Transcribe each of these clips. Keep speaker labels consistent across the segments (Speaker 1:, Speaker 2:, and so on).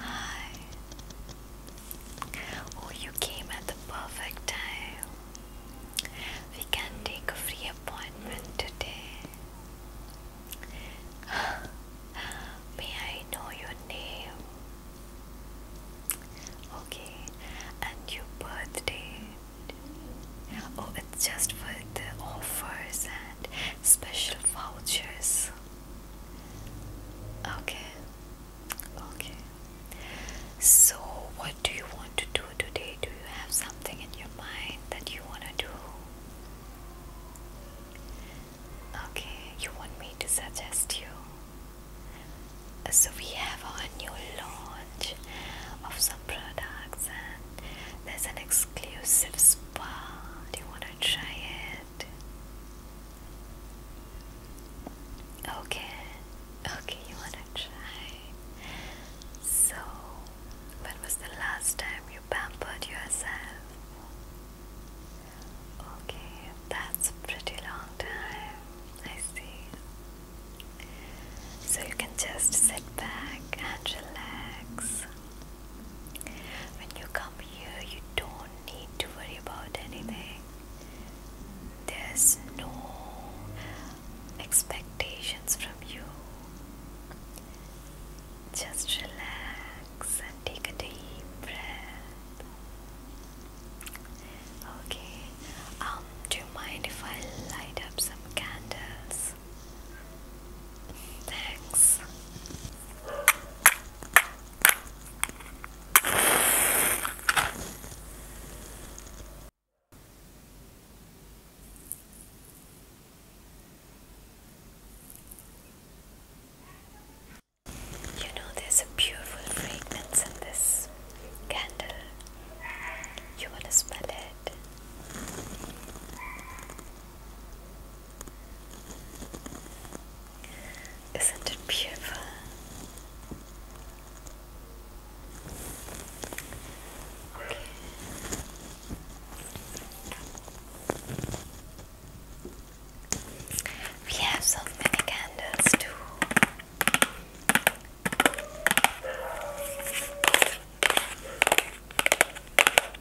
Speaker 1: Hi. Oh, you came at the perfect time. We can take a free appointment today. May I know your name? Okay, and your birthday? Oh, it's just for the offers and special vouchers. Okay, okay. So, what do you want to do today? Do you have something in your mind that you want to do? Okay, you want me to suggest you? So, we have our new launch of some products, and there's an exclusive spa. Do you want to try it? Okay, okay, you wanna try? So, when was the last time you pampered yourself? Okay, that's a pretty long time. I see. So, you can just sit back and relax. When you come here, you don't need to worry about anything. There's no expectations from you. Just relax and take a deep breath. Okay, um, do you mind if I light up some candles? Thanks. You know, there's a beautiful fragrance in this candle. You want to smell it? Isn't it beautiful? We have so many candles too.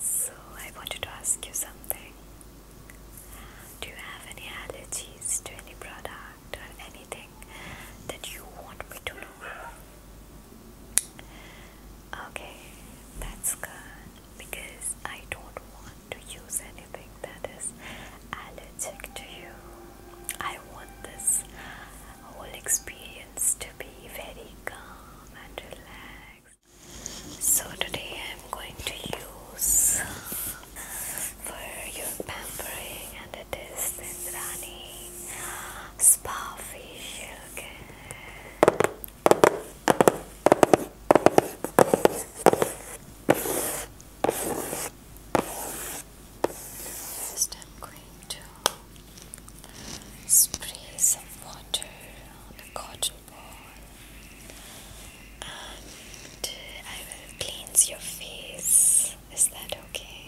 Speaker 1: So, I wanted to ask you something. Do you have any allergies to any product or anything that you want me to know? Okay, that's good because I don't want to use anything that is allergic to you. I want this whole experience to be very calm and relaxed. So today I'm going to use for your pampering and it is Sindrani Spa Facial i I'm going to spray some water on the cotton ball and I will cleanse your face. Is that okay?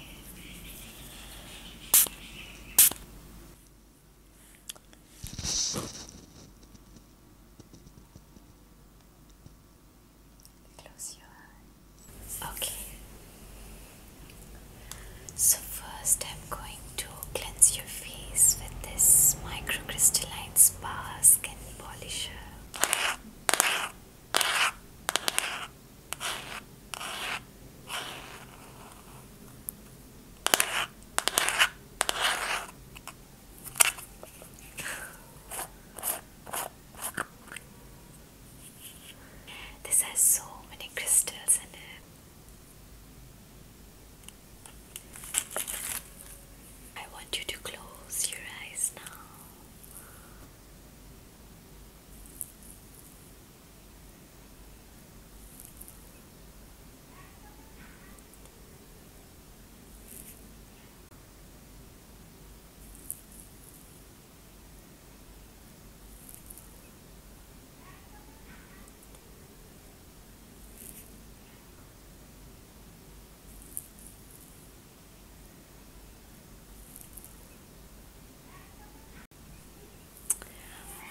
Speaker 1: Close your eyes. Okay. So, first, I'm going to cleanse your face with this microcrystalline spa skin polisher. This has so many crystals in it. I want you to close your eyes now.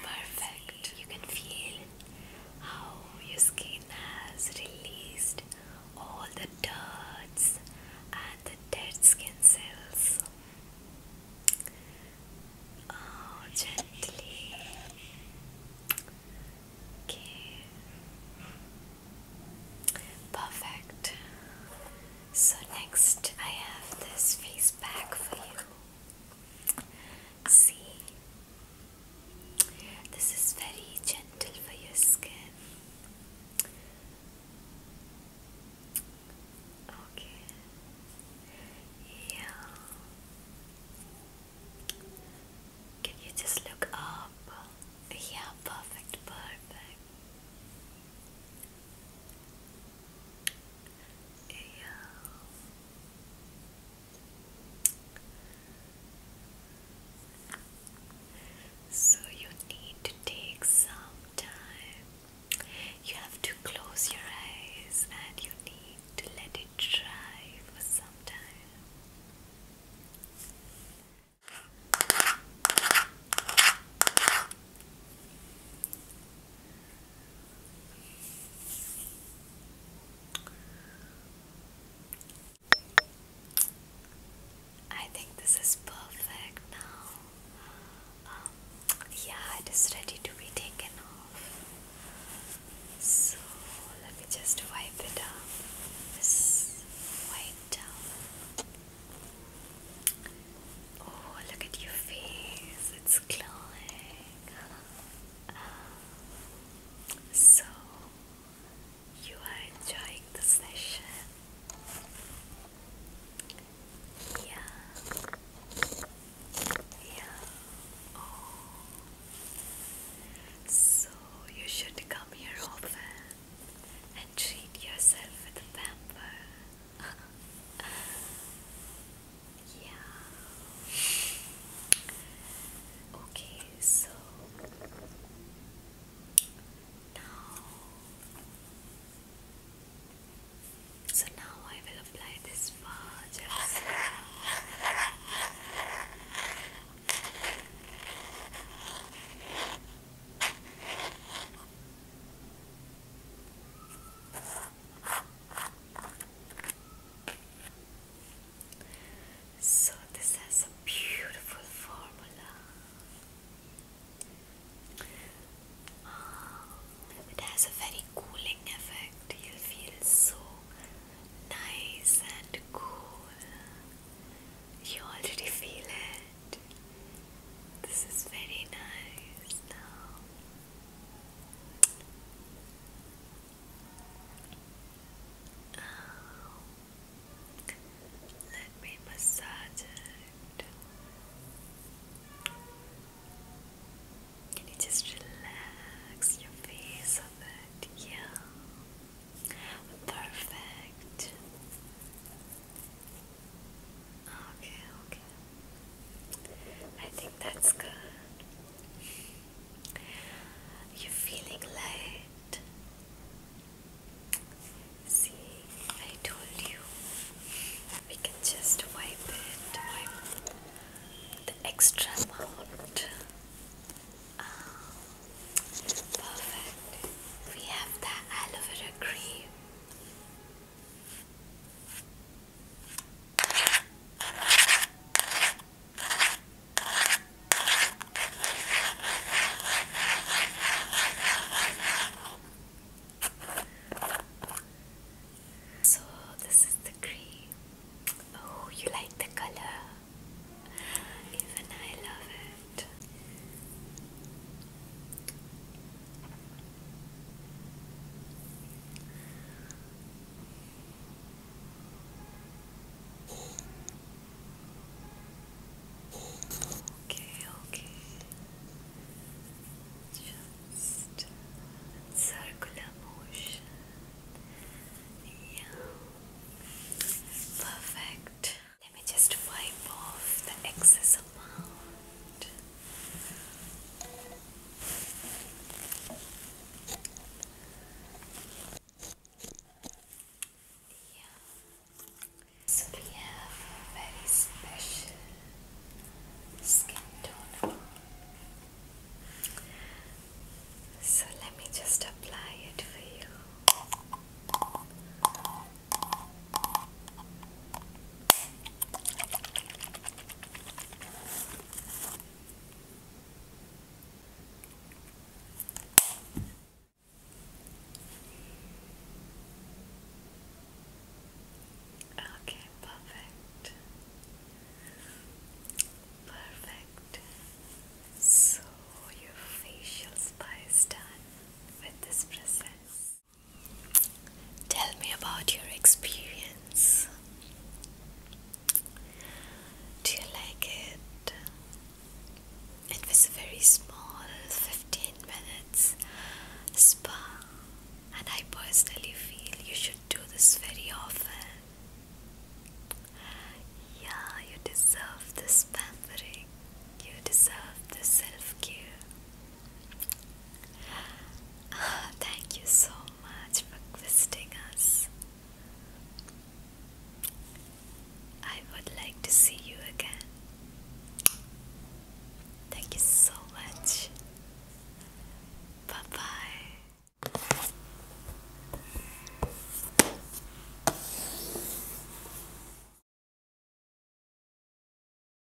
Speaker 1: Perfect. You can feel how your skin has released all the dirts and the dead skin cells. Oh, gently. Okay. Perfect. So, next I have this face pack for you. See, this is very gentle for your skin. Okay. Yeah. Can you just look up? Yeah, perfect, perfect. Yeah. So you need to take some time. You have to close your eyes and you need to let it dry for some time. I think this is perfect now. Um, yeah, it is ready to be taken off. So let me just wipe it up. This white towel. Oh, look at your face. It's glowing. So, you are enjoying the session. Yeah. Yeah. Oh. So, you should come here often and treat yourself with pamper. Yeah. Okay, so now so now I will apply this bar so, this has a beautiful formula. Oh, it has a very cooling effect. you feel so nice and cool. You already feel it. This is very nice now. Oh. Let me massage it. Can you just relax your face of it? Yeah. Perfect. Okay, okay. I think that's good. You're feeling light. See, I told you we can just wipe it, wipe the extra amount. Um, perfect. We have the aloe vera cream. So, this is the cream. Oh, you like the color? Even I love it. Okay, okay. Just circular motion. Yeah. Perfect. Let me just wipe off the excess amount. So we have a very special skin toner. So let me just apply it for you. Okay, perfect. Perfect. So your facial spa is done with this process. Tell me about your experience. Do you like it? It was a very small 15 minutes spa, and I personally feel you should do this very often. Yeah, you deserve this pampering, you deserve this self care. Ah, thank you so much for visiting us. I would like to see you again. Thank you so much. Bye bye.